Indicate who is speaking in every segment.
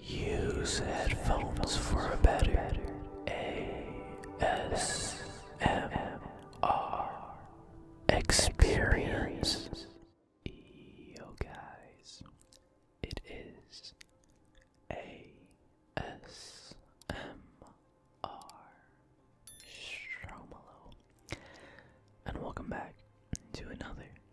Speaker 1: Use headphones for a better ASMR experience. Yo guys, it is ASMR Stromalo, and welcome back to another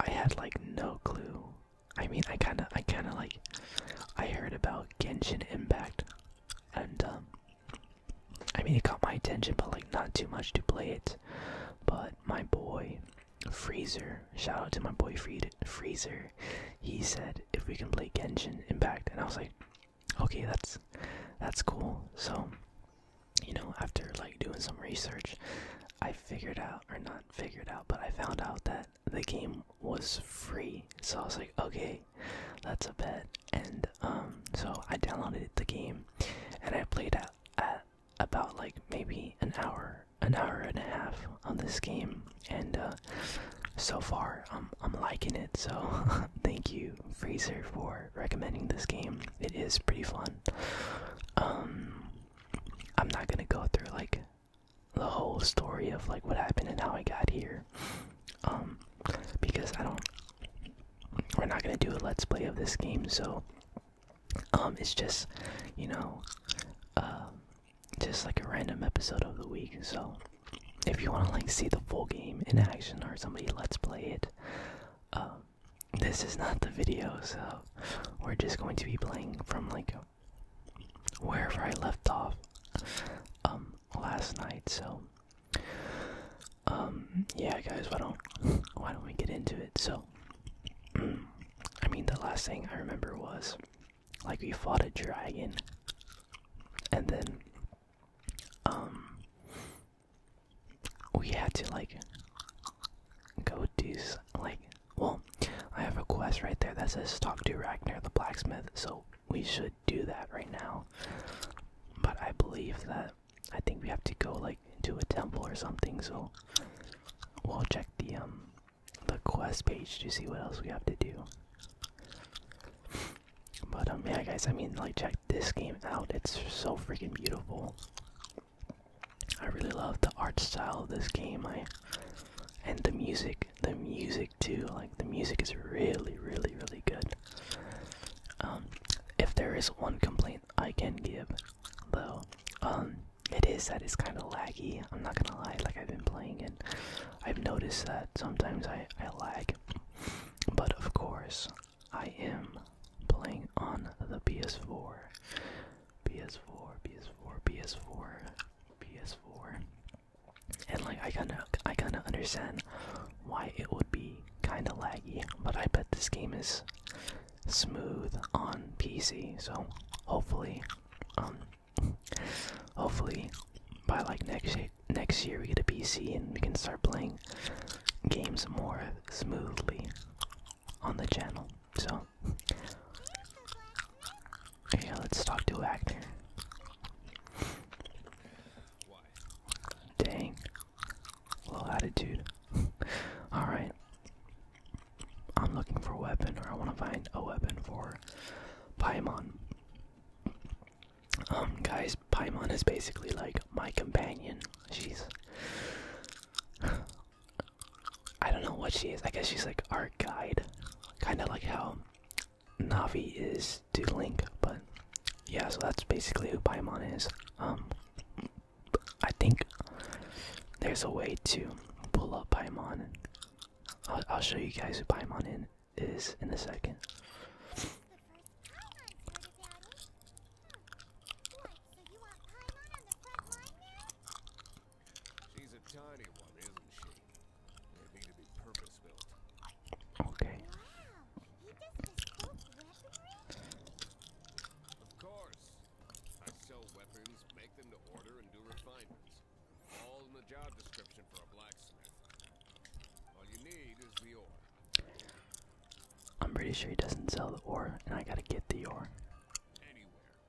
Speaker 1: I had like no clue. I mean, I kind of, I kind of like, I heard about Genshin Impact, and um, I mean, it caught my attention, but like not too much to play it. But my boy Freezer, shout out to my boy Freezer, he said if we can play Genshin Impact, and I was like, okay, that's that's cool. So, you know, after like doing some research, I figured out, or not not figured out, but I found out that the game was free. So I was like, okay, that's a bet. And um, so I downloaded the game and I played at, about like maybe an hour, an hour and a half on this game. And uh, so far, I'm, I'm liking it. So thank you, Freezer, for recommending this game. It is pretty fun. Um, I'm not gonna go through like the whole story of like what happened and how I got here. Um because I don't we're not gonna do a let's play of this game, so um it's just you know uh just like a random episode of the week, so if you wanna like see the full game in action or somebody let's play it, um this is not the video, so we're just going to be playing from like wherever I left off um last night. So um yeah, guys, why don't why don't we get into it? So I mean, the last thing I remember was like we fought a dragon, and then um we had to like go do like well i have a quest right there that says talk to ragnar the blacksmith so we should do that right now but i believe that i think we have to go like into a temple or something so we'll check the um the quest page to see what else we have to do but um yeah guys i mean like check this game out it's so freaking beautiful I really love the art style of this game. I and the music, the music too. Like the music is really, really, really good. Um, if there is one complaint I can give, though, um, it is that it's kind of laggy. I'm not gonna lie. Like I've been playing it, I've noticed that sometimes I I lag. But of course, I am playing on the PS4, PS4, PS4, PS4, PS4. And like I kinda I kinda understand why it would be kinda laggy, but I bet this game is smooth on PC, so hopefully um, hopefully by like next next year we get a PC and we can start playing games more smoothly on the channel. So yeah, let's talk to Wagner. Dang, low attitude. All right, I'm looking for a weapon, or I want to find a weapon for Paimon. Um, guys, Paimon is basically like my companion. She's I don't know what she is. I guess she's like our guide, kind of like how Navi is to Link. But yeah, so that's basically who Paimon is. Um, I think there's a way to pull up Paimon. I'll, I'll show you guys who Paimon in, is in a second. She's a tiny one, isn't she? of course. I sell weapons, make them to order, and do refinements. All in the job description for a blacksmith. All you need is the ore. I'm pretty sure he doesn't sell the ore, and I gotta get the ore.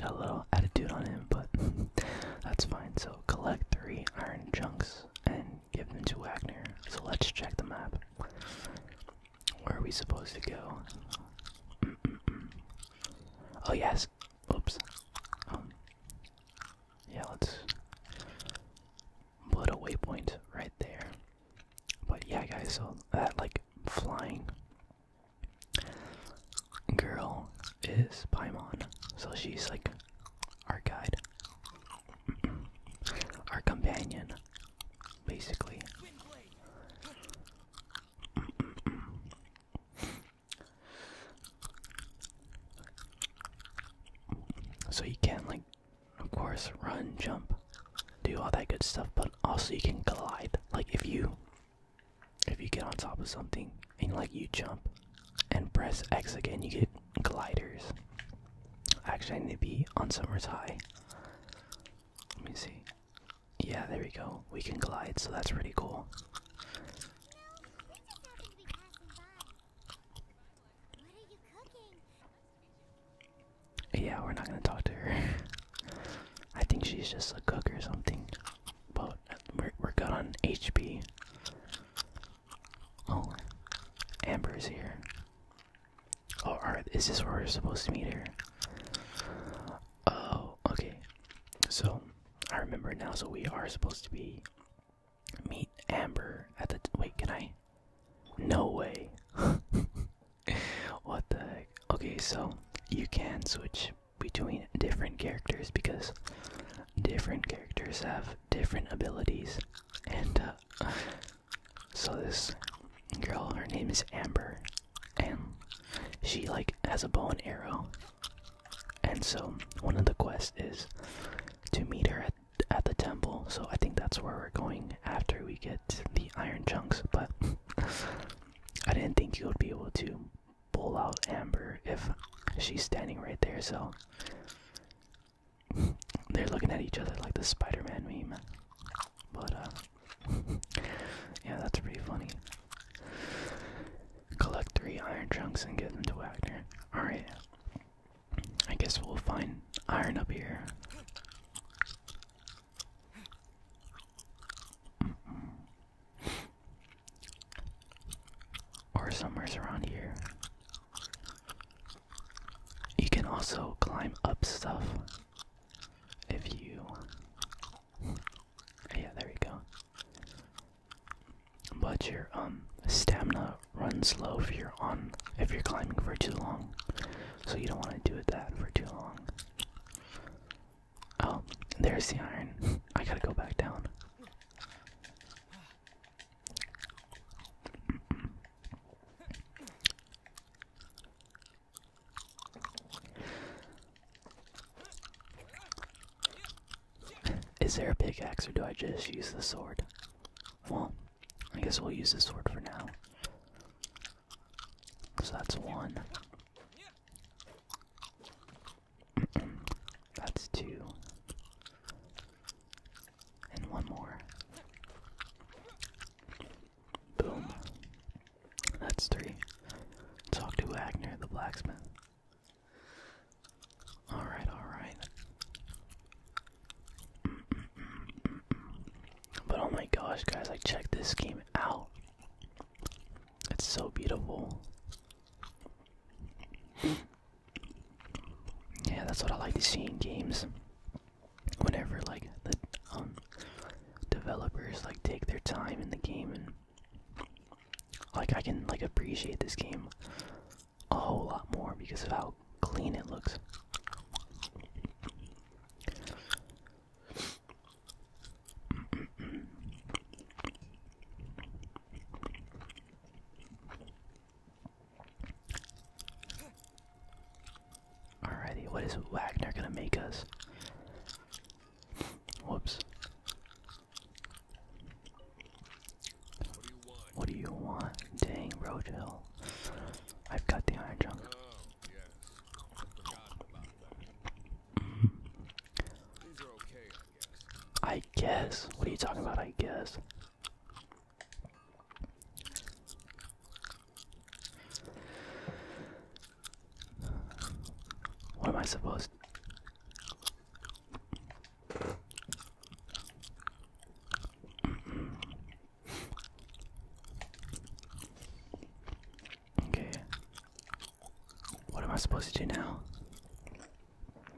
Speaker 1: got a little attitude on him, but that's fine. So collect three iron chunks and give them to Wagner. So let's check the map. Where are we supposed to go? Oh yes. Oops. Um, yeah, let's put a waypoint right there. But yeah, guys. So that like flying girl is Paimon, so she's like our guide, our companion, basically. So you can like, of course, run, jump, do all that good stuff, but also you can glide. Like if you if you get on top of something and like you jump and press X again, you get gliders. Actually, I need to be on Summer's High. Let me see. Yeah, there we go. We can glide, so that's pretty cool. Yeah, we're not gonna talk to her. I think she's just a cook or something. But we're, we're good on HP. Oh, Amber is here. Oh, alright, is this where we're supposed to meet her? Oh, okay. So, I remember now, so we are supposed to be. Meet Amber at the. Wait, can I? No way. what the Okay, so you can switch between different characters because different characters have different abilities. And uh, so this girl, her name is Amber, and she like has a bow and arrow. And so one of the quests is to meet her at at the temple. So I think that's where we're going after we get the iron chunks, but I didn't think you would be able to pull out Amber if she's standing right there, so they're looking at each other like the Spider Man meme. But, uh, yeah, that's pretty funny. Collect three iron trunks and get them to Wagner. Alright. I guess we'll find iron up here or somewhere around here. You can also climb up stuff if you. Yeah, there you go. But your um stamina runs low if you're on if you're climbing for too long, so you don't want to do it that for too long. Oh, there's the iron. I gotta go back down. Is there a pickaxe or do I just use the sword? Well, I guess we'll use the sword for now. So that's one. That's two. And one more. Boom. That's three. Talk to Agner the blacksmith. Alright, alright. But oh my gosh, guys, I check this game out. It's so beautiful. Yeah, that's what I like to see in games. Whenever like the um, developers like take their time in the game and like I can like appreciate this game a whole lot more because of how clean it looks. Alrighty, what is Wagner gonna make us? Whoops. What do you want? Dang, Roadkill. I've got the iron junk. Oh, I guess. What are you talking about? I guess. What am I supposed to? Okay. What am I supposed to do now?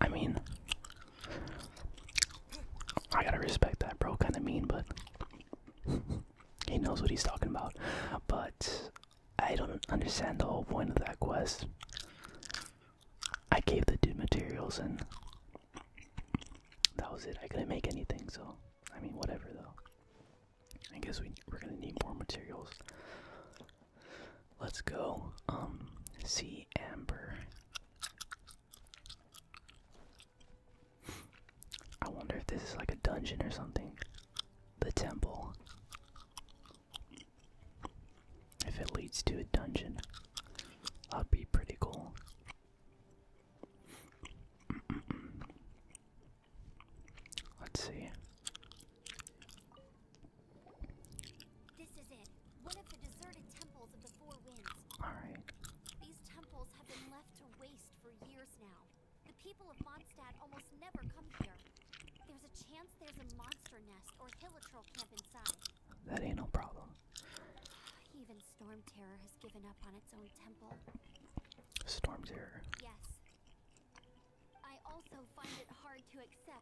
Speaker 1: I mean, I gotta respect that, bro. Kind of mean, but he knows what he's talking about. But I don't understand the whole point of that quest. I gave the dude materials and that was it. I couldn't make anything, so I mean, whatever though. I guess we, we're gonna need more materials. Let's go. Um, see Amber. I wonder if this is like a dungeon or something. The temple. If it leads to a dungeon, that'd be pretty cool. Let's see. This is it. One of the deserted temples of the Four Winds. All right. These temples have been left to waste for years now. The people of Mondstadt almost never come here. There's a chance there's a monster nest or a hill troll camp inside. That ain't no problem. Even Storm has given up on its own temple. Storm Yes. I also find it hard to accept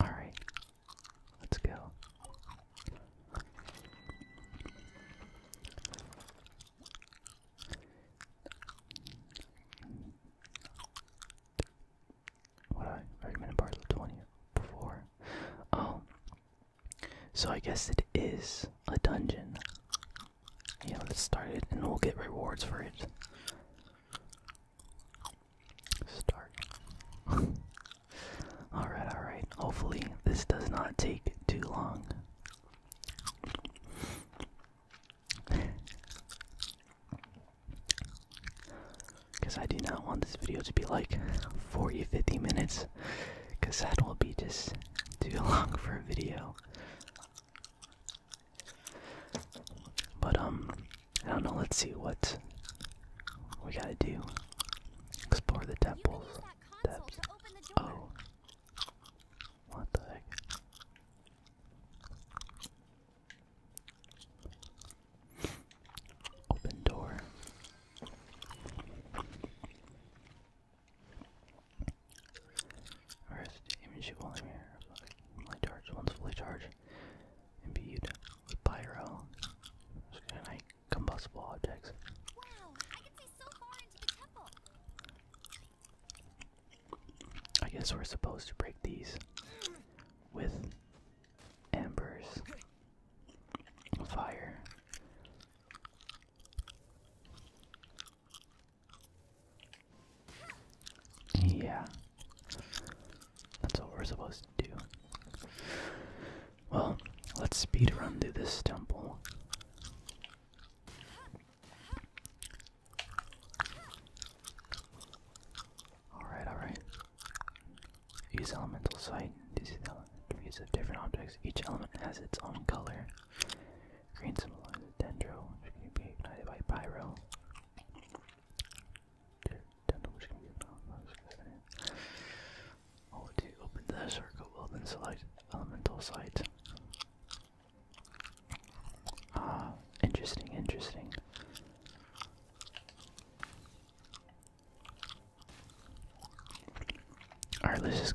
Speaker 1: Alright, let's go. What I recommend part 20 before. Oh, so I guess it is a dungeon. Yeah, let's start it and we'll get rewards for it. Start. alright, alright. Hopefully, this does not take too long. Because I do not want this video to be like 40 50 minutes, because that will be just too long for a video. But um, I don't know. Let's see what we gotta do. Explore the temple. Oh, what the heck? Open door. First, aim shoot i here. Fully charged. One's fully charged. Imbued pyro. Just going combustible objects. Wow, I can see so far into the temple. I guess we're supposed to break these with embers, fire. Yeah. That's what we're supposed to do. Well, let's speed run through this temple. Alright, alright. Use elemental sight. These elements of different objects. Each element has its own color. Green symbolizes Dendro, which can be ignited by Pyro. Dendro, which can be ignited Oh, to open the circle, will then select Elemental Sight. Ah, interesting, interesting. Alright, let's just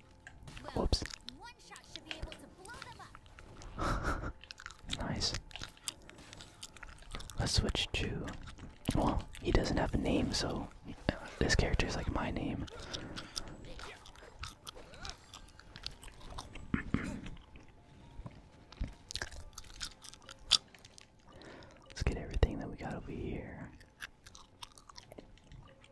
Speaker 1: Whoops. nice. Let's switch to. Well, he doesn't have a name, so this character is like my name. Let's get everything that we got over here.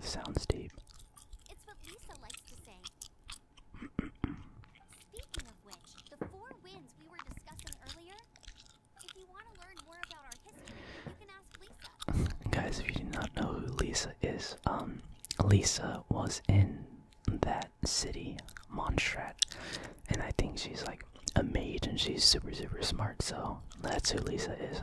Speaker 1: Sounds deep. It's what Lisa likes to say. Speaking of which, the four winds we were discussing earlier. If you want to learn more about our history, you can ask Lisa. Guys, if you do not know who Lisa is, um, Lisa was in that city, Monstrat, and I think she's like a mage and she's super, super smart, so that's who Lisa is.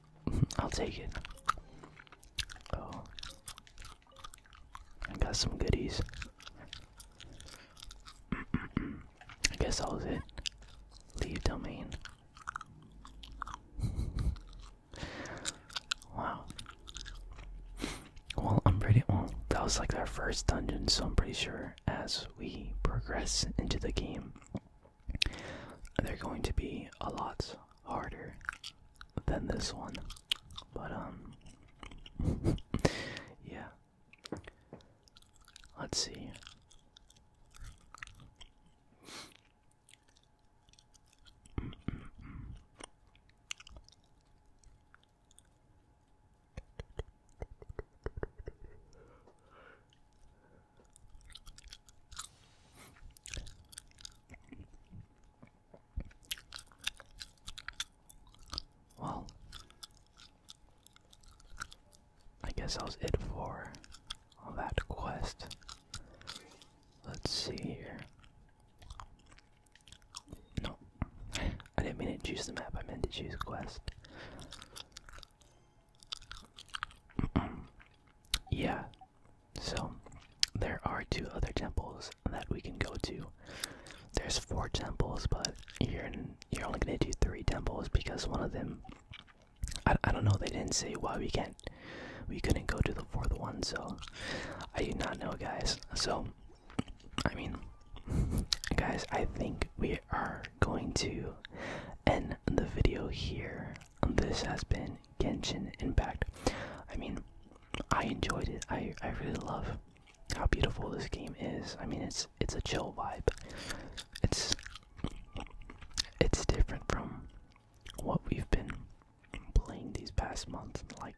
Speaker 1: I'll take it. Oh. I got some goodies. I guess that was it. Leave domain. wow. Well, I'm pretty. Well, that was like our first dungeon, so I'm pretty sure as we progress into the game, they're going to be a lot harder than this one. But, um, yeah. Let's see. Well, I guess that was it for that quest. Let's see here. No, I didn't mean to choose the map, I meant to choose quest. yeah, so, there are two other temples that we can go to. There's four temples, but you're you're only gonna do three temples because one of them. I, I don't know. They didn't say why we can't. We couldn't go to the fourth one, so I do not know, guys. So, I mean, guys, I think we are going to end the video here this has been Genshin Impact. I mean, I enjoyed it. I I really love how beautiful this game is. I mean, it's it's a chill vibe. It's it's different from what we've been playing these past months, like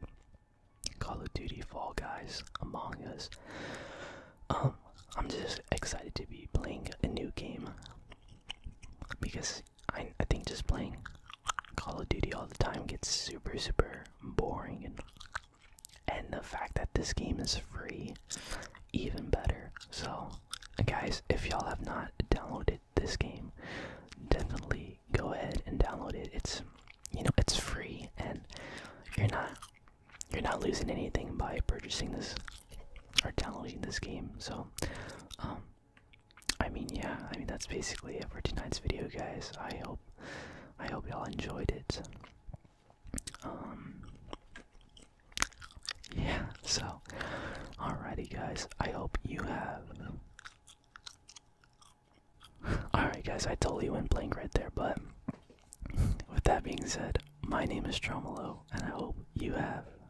Speaker 1: Call of Duty, Fall Guys, Among Us. Um, I'm just excited to be playing a new game because I, I think just playing Call of Duty all the time gets super, super boring. And, and the fact that this game is free, even better. So, guys, if y'all have not downloaded this game, definitely go ahead and download it. It's, you know, it's free and you're not you're not losing anything by purchasing this or downloading this game so um, I mean, yeah, I mean that's basically it for tonight's video, guys. I hope, I hope y'all enjoyed it. Um, yeah. So, alrighty, guys. I hope you have. Alright, guys. I totally went blank right there, but with that being said, my name is Tromolo, and I hope you have